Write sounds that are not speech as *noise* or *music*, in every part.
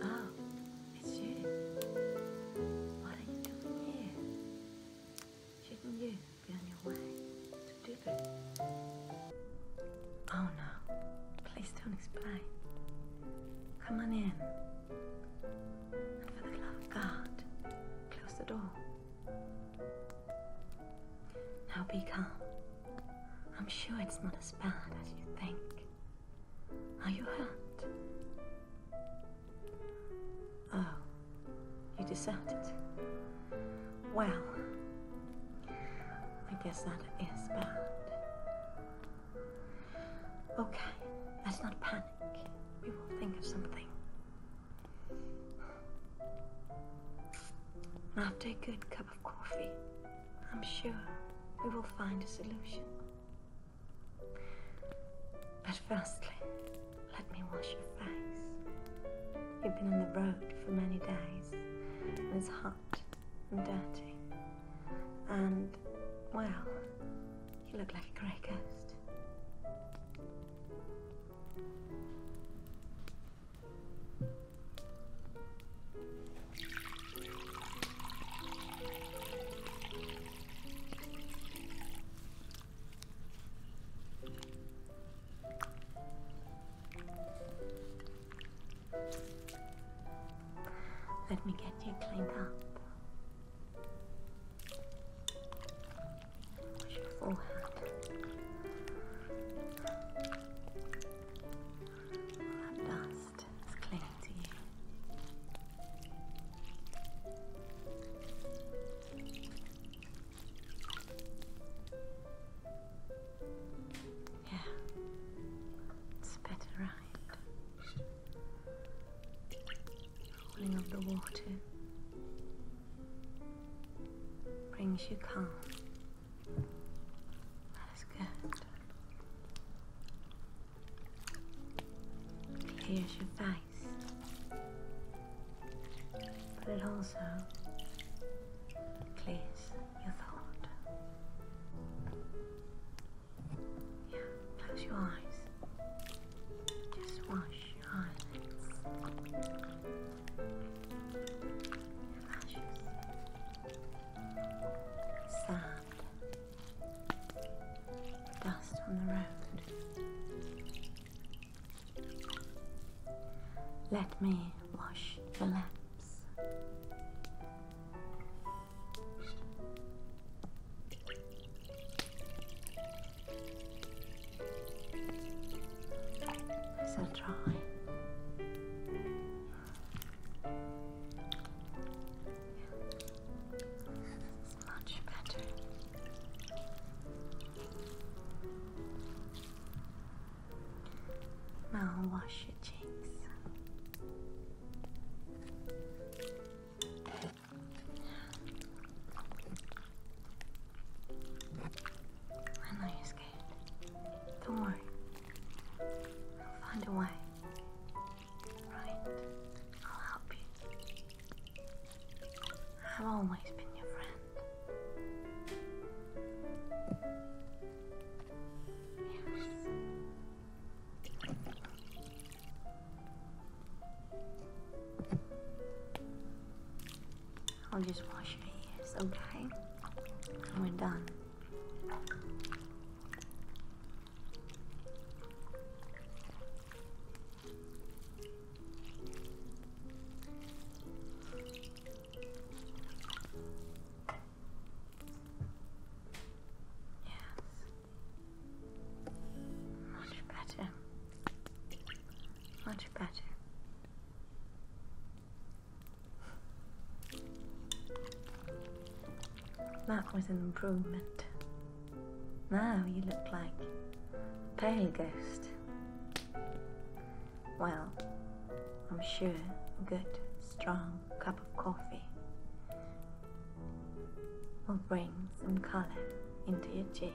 Oh, it's you. What are you doing here? Shouldn't you be on your way to Oh no, please don't explain. Come on in. And for the love of God, close the door. Now be calm. I'm sure it's not as bad as you think. Are you hurt? Oh, you deserted. Well, I guess that is bad. Okay, let's not panic. We will think of something. After a good cup of coffee, I'm sure we will find a solution. But firstly, let me wash your face. He'd been on the road for many days, and it's hot and dirty. And, well, he looked like a grey ghost. Let me get you cleaned up. Wash your forehead. dust is clinging to you. Yeah, it's better, right? Cooling of the water brings you calm. That is good. Clears your face but it also clears your thought. Yeah, close your eyes. Just wash your eyelids. lashes. Sand. Dust on the road. Let me wash the lamps. So dry. much better. Now wash your cheeks. I know you're Don't worry. I'll find a way. Right? I'll help you. I've always been your friend. I'll just wash your ears, okay? And we're done. Yes. Much better. Much better. That was an improvement. Now you look like a pale ghost. Well, I'm sure a good, strong cup of coffee will bring some color into your cheeks.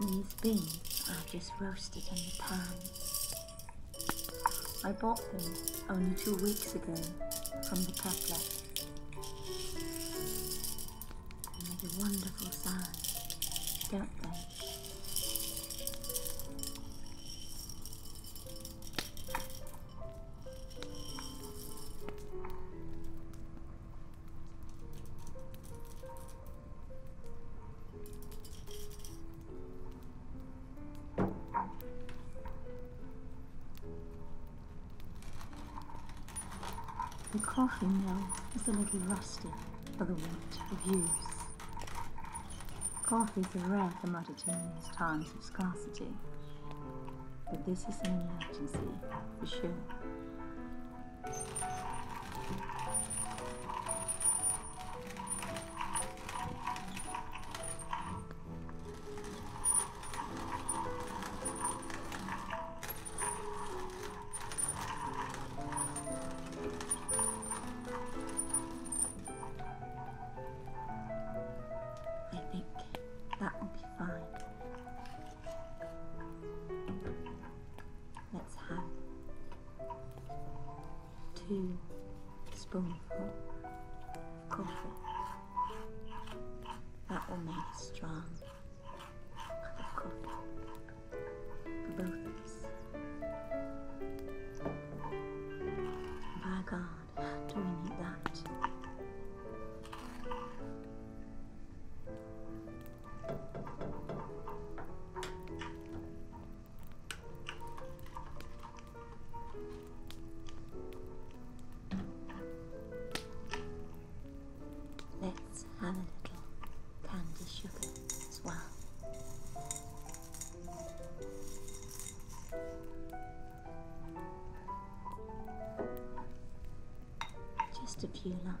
These beans are just roasted in the pan. I bought them only two weeks ago from the peddler. They make a wonderful sound, don't they? The coffee mill is a little rusty for the want of use. Coffee is a rare commodity in these times of scarcity, but this is an emergency for sure. I think that will be fine. Let's have two spoonful of coffee. That will make it strong for both of us. By God, do we need that? Let's have a little candy sugar as well. Just a few lumps.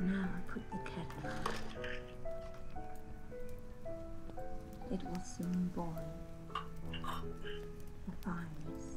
Now I put the kettle It was soon boil. The fire is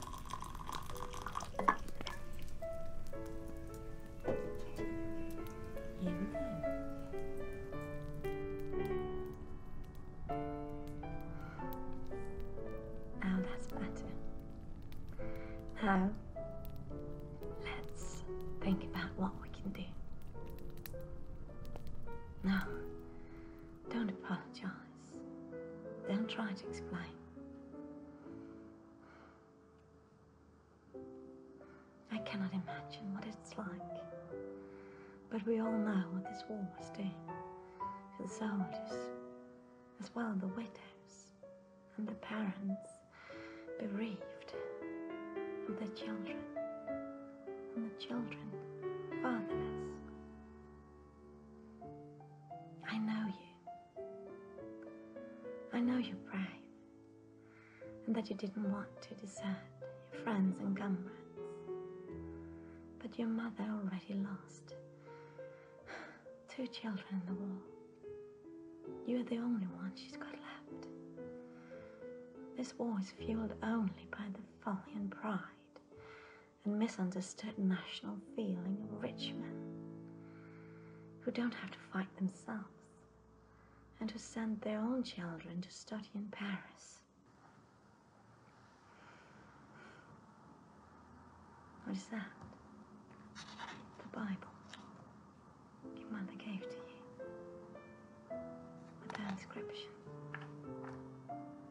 Here that's better. Now, let's think about what we can do. No, don't apologize. Don't try to explain. I cannot imagine what it's like, but we all know what this war was doing to the soldiers, as well as the widows and the parents bereaved of their children, and the children fatherless. I know you. I know you're brave and that you didn't want to desert your friends and comrades. But your mother already lost two children in the war. You're the only one she's got left. This war is fueled only by the folly and pride and misunderstood national feeling of rich men who don't have to fight themselves and who send their own children to study in Paris. What is that? The Bible your mother gave to you with that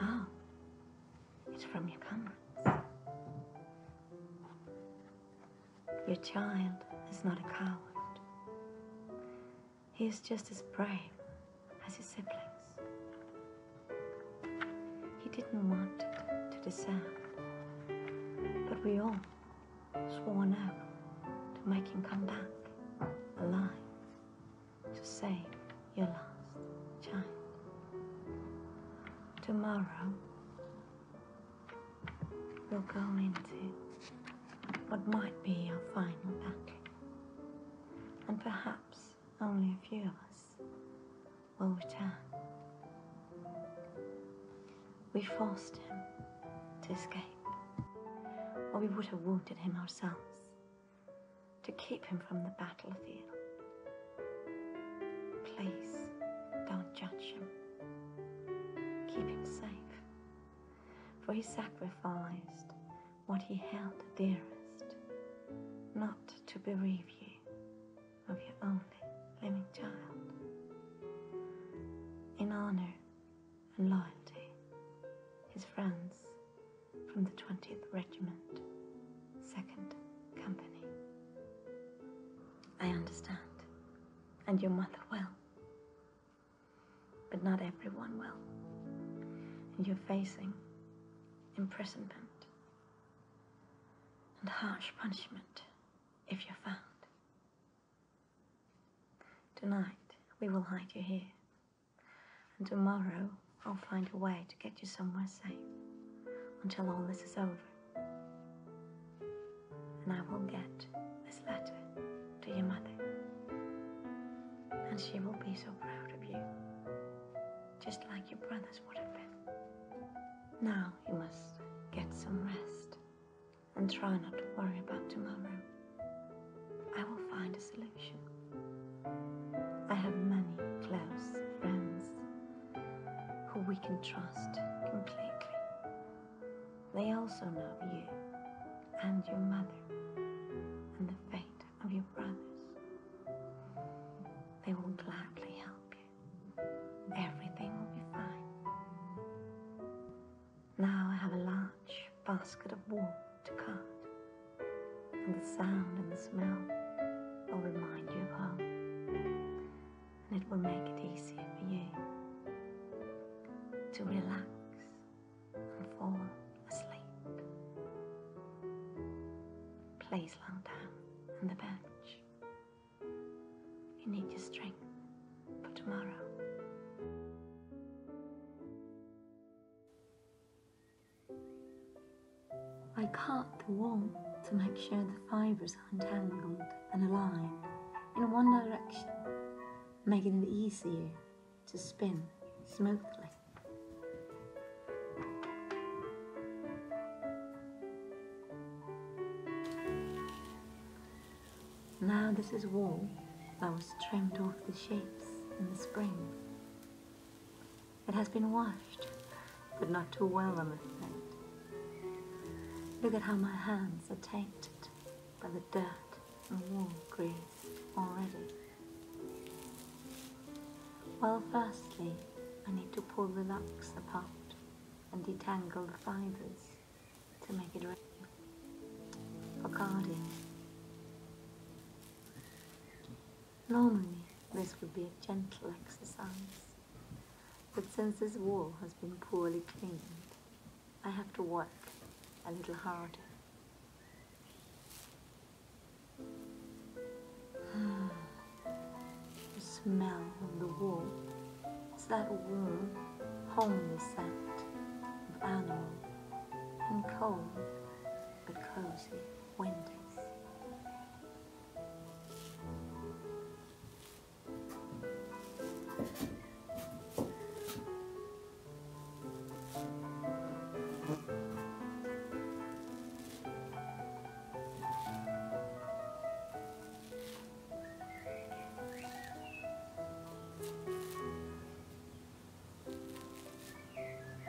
Oh, it's from your comrades. Your child is not a coward. He is just as brave as his siblings. He didn't want to descend, but we all swore now to make him come back alive to save your last chime. Tomorrow, we'll go into what might be our final battle, and perhaps only a few of us will return. We forced him to escape, or we would have wounded him ourselves to keep him from the battlefield. Please don't judge him. Keep him safe, for he sacrificed what he held dearest, not to bereave you of your only living child. In honor and loyalty, his friends from the 20th Regiment, 2nd Company. I understand. And your mother will. But not everyone will. you're facing imprisonment and harsh punishment if you're found. Tonight, we will hide you here and tomorrow I'll find a way to get you somewhere safe until all this is over. And I will get this letter to your mother. And she will be so proud of you, just like your brothers would have been. Now you must get some rest and try not to worry about tomorrow. I will find a solution. I have many close friends who we can trust completely. They also love you and your mother and the fate of your brothers. They will gladly help you. Everything will be fine. Now I have a large basket of wool to cut, and the sound and the smell will remind you of home, and it will make it easier for you to relax and fall asleep. Please lie down on the bench. You need your strength for tomorrow. I cut the wool to make sure the fibers are untangled and aligned in one direction, making it easier to spin smoothly. Now this is wool that was trimmed off the sheep in the spring. It has been washed, but not too well, on am afraid. Look at how my hands are tainted by the dirt and wool grease already. Well, firstly, I need to pull the locks apart and detangle the fibres to make it ready for guarding. Normally, this would be a gentle exercise, but since this wall has been poorly cleaned, I have to work a little harder. *sighs* the smell of the wall is that warm, homely scent of animal in cold but cozy winters.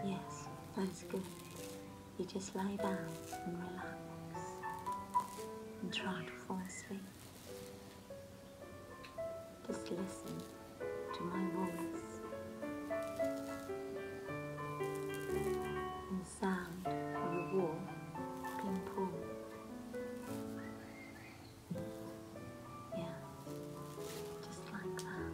Yes, that's good. You just lie down and relax and try to fall asleep. Just listen to my voice and sound of the wall being pulled. Yeah, just like that.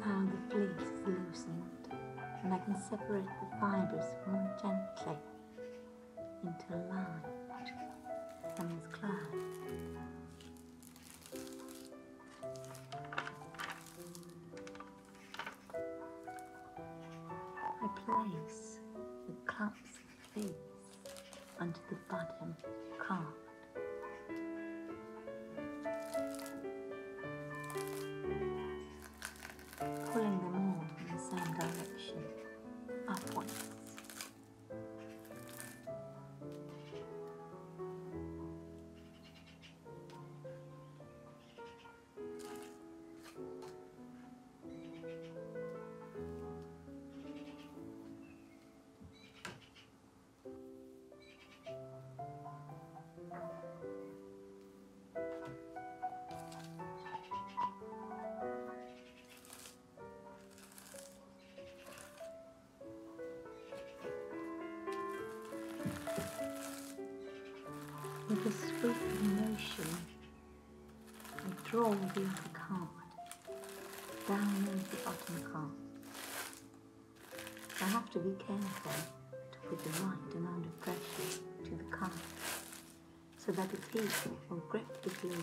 Now the fleece is loosened and I can separate the fibers more gently into light from this cloud. place with clumps of feet. Under the bottom carved. Pulling them all in the same direction, upwards. With a sweeping motion, I draw the other card down into bottom calm. I have to be careful to put the right amount of pressure to the calf so that the teeth will grip the glue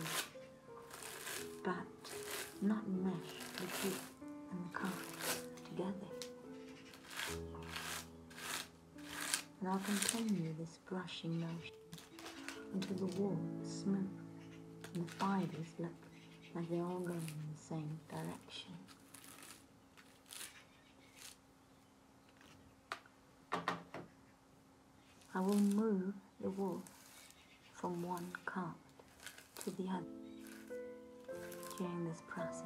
but not mesh the teeth and the calf together. And I'll continue this brushing motion until the wall is smooth and the fibers look like they're all going in the same direction. I will move the wool from one cart to the other during this process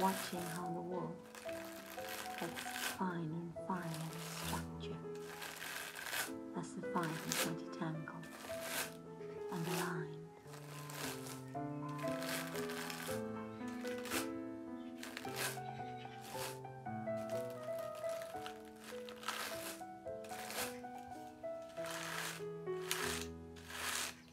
watching how the wool gets fine and fine in structure as the fine is multitangled and aligned.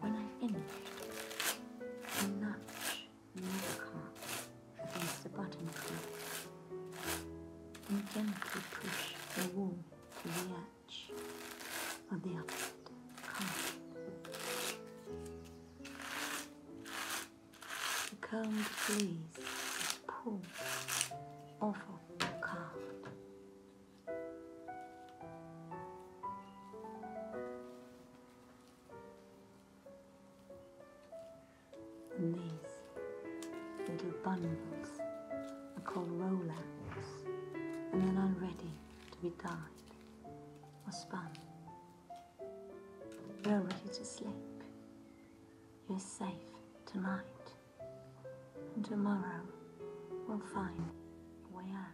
When I finished, I nudge another card against the bottom card and gently push the wall to the edge of the opposite card. The current place is pulled off of the card. And these little bundles are called rollers and then are ready to be dyed or spun. You're ready to sleep. You're safe tonight. And tomorrow we'll find a way out.